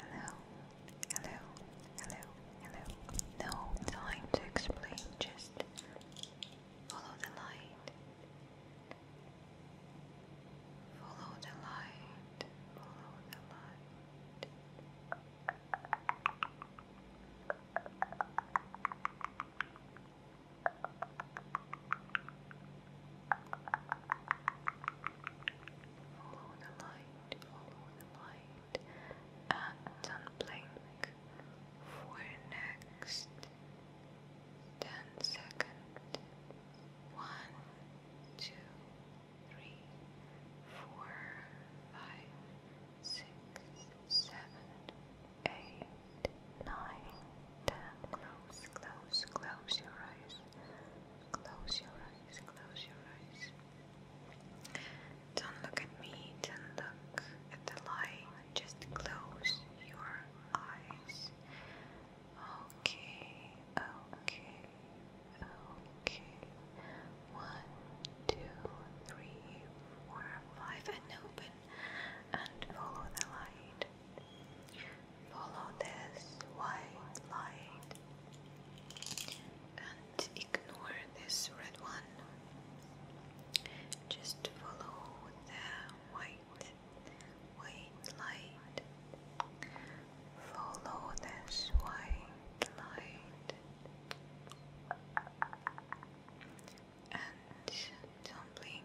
Hello, hello, hello, hello. No time to explain, just follow the light. Follow the light, follow the light. Follow the light, follow the light, and unblink for next ten seconds. One, two, three, four, five, six, seven, eight, nine, ten. Close, close, close your eyes. Close your eyes, close your eyes. Don't look at me, don't look at the light, just close your eyes. Okay, okay, okay. One, two, three, four, five, and open and follow the light. Follow this white light and ignore this red one. Just follow the white, white light. Follow this white light and don't blink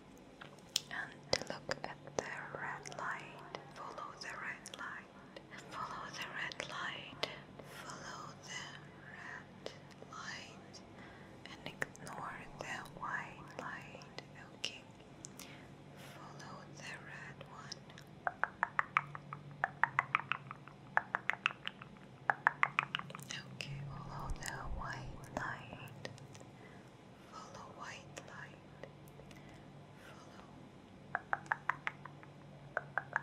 and look at the red light. Follow the red light. Follow the red light. Follow the red light and ignore the white light. Okay. Follow the red one. Okay, follow the white light. Follow white light. Follow. I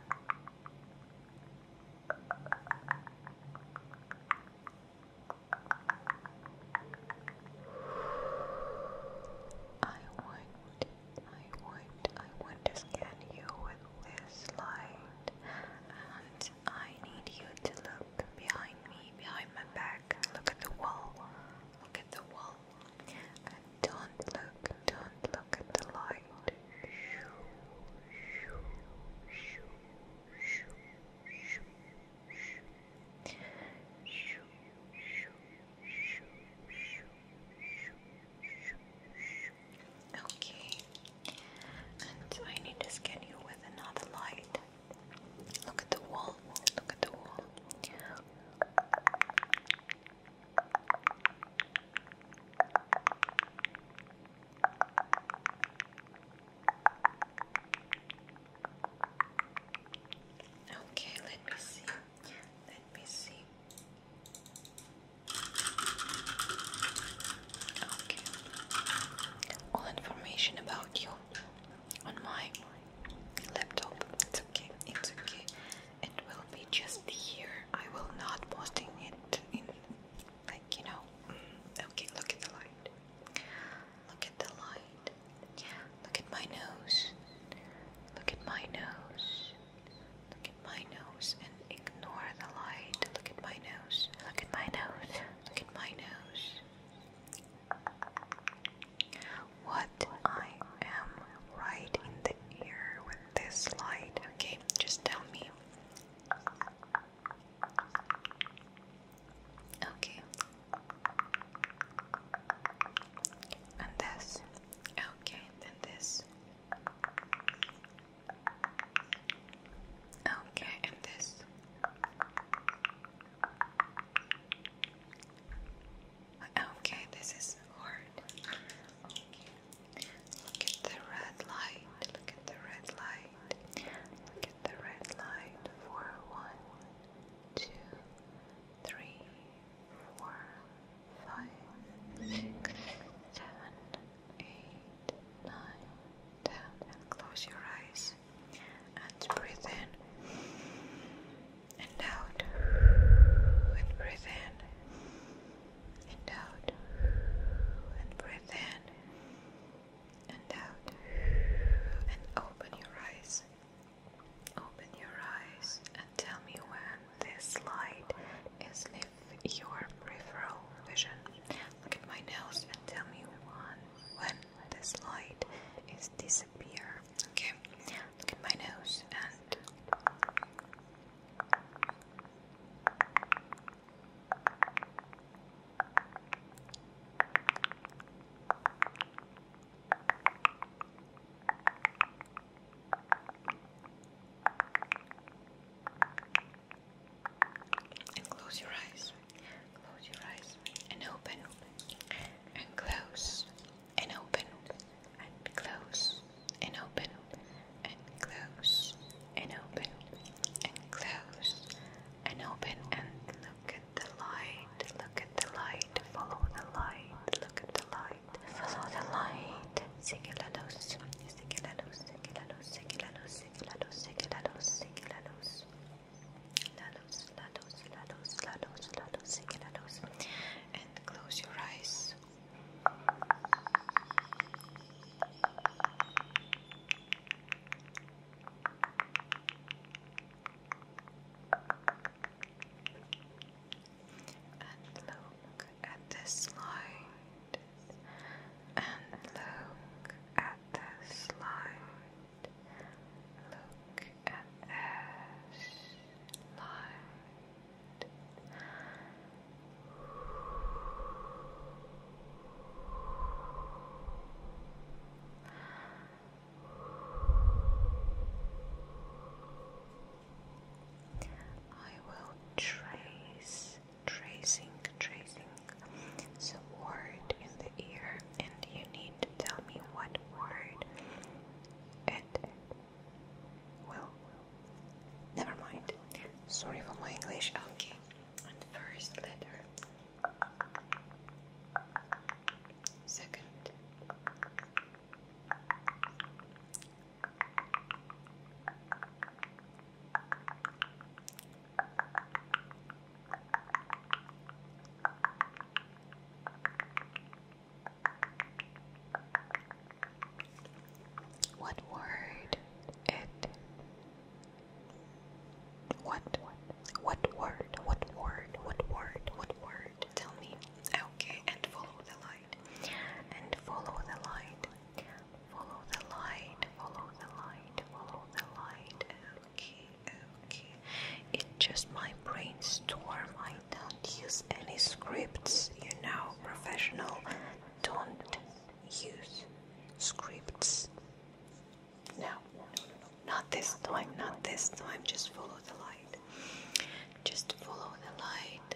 would, I would, I would to scan you with this light, and I need you to look behind me, behind my back. Look at the wall. Look at the wall. And don't look, don't look at the light. Okay, and I need to scan you with another light. Look at the wall. Look at the wall. Okay, let me see. Let me see. All information about you on my laptop. It's okay. It's okay. It will be just here. I will not posting it in like you know. Mm, okay, look at the light. Look at the light. Look at my nose. Look at my nose. Look at my nose and ignore the light. Look at my nose. Look at my nose. Look at my nose. What I am right in the ear with this light. Okay, just tell me. Okay. And this. Okay, then this. Okay, and this. Okay, this is hard. Look at the red light. Look at the red light. Look at the red light for and close your eyes and breathe in and out and breathe in and out and breathe in and out and open your eyes. Open your eyes and tell me when this light is lifted your peripheral vision. Look at my nose and tell me when, this light is disappear. Okay, look at my nose and and close your eyes. Close your eyes and open and close and open and close and open and close and open and close and open and look at the light. Look at the light. Follow the light. Look at the light. Follow the light. Sigue la luz sigue la luz, sigue la luz, sigue la luz, sigue la luz, sigue la luz, sigue la luz. La luz, la luz, la luz, la luz, la luz, sigue la luz. And close your eyes. And look at this light and look at this light. Look at this light. I will trace tracing, tracing. It's a word in the ear, and you need to tell me what word And will. Never mind. Sorry for my English. Okay, and first letter. Second. What word it what what word what word what word what word tell me okay and follow the light and follow the light Follow the light, follow the light, follow the light. Okay, okay. It's just my brainstorm. I don't use any scripts, you know, professional don't use scripts. No, no, no, no. Not this time, not this time. Just follow the light. Just follow the light,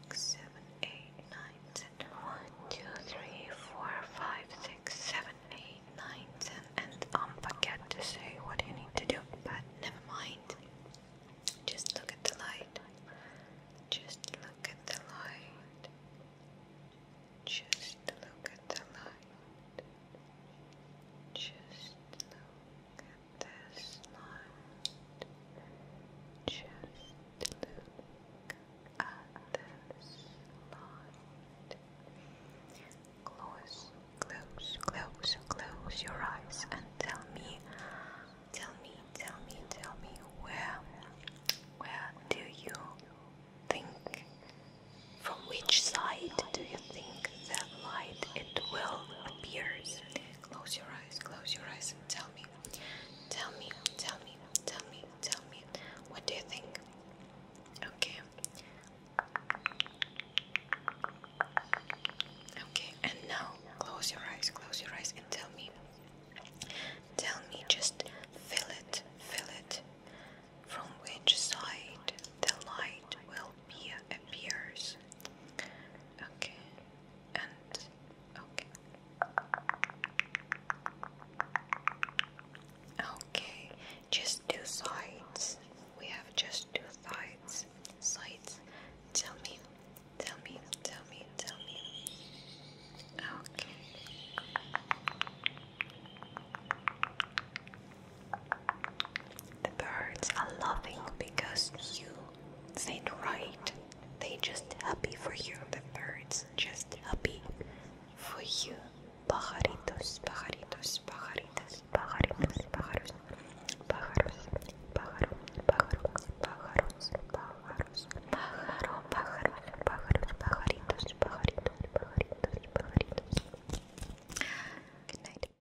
six, seven, eight, nine, ten. One, two, three, four, five, six, seven, eight, nine, ten. And um, forget to say what you need to do, but never mind. Just look at the light. Just look at the light. Just look at the light. Just look at this light. Just look at this light. Close, close, close, close your eyes and tell me, tell me, tell me, tell me where, where do you think? From which side do you think that light it will appear? Close your eyes close your eyes and tell me. Tell me, tell me, tell me, tell me. What do you think? Okay. Okay, and now close your eyes, close your eyes and tell me. Tell me, just feel it, feel it. From which side the light will little appears. Okay, and okay. Okay, just two sides. We have just two sides. Sides. Tell me, tell me, tell me, tell me. Okay. The birds are laughing because you said right. They just happy for you. The birds just happy for you. Pajaritos, pajaritos, pajaritos, pajaritos, pájaros, pájaros, pájaro, pájaro, pájaros, pájaros, pájaro, pájaro, pájaros, pajaritos, pajaritos, pajaritos, pajaritos. Good night.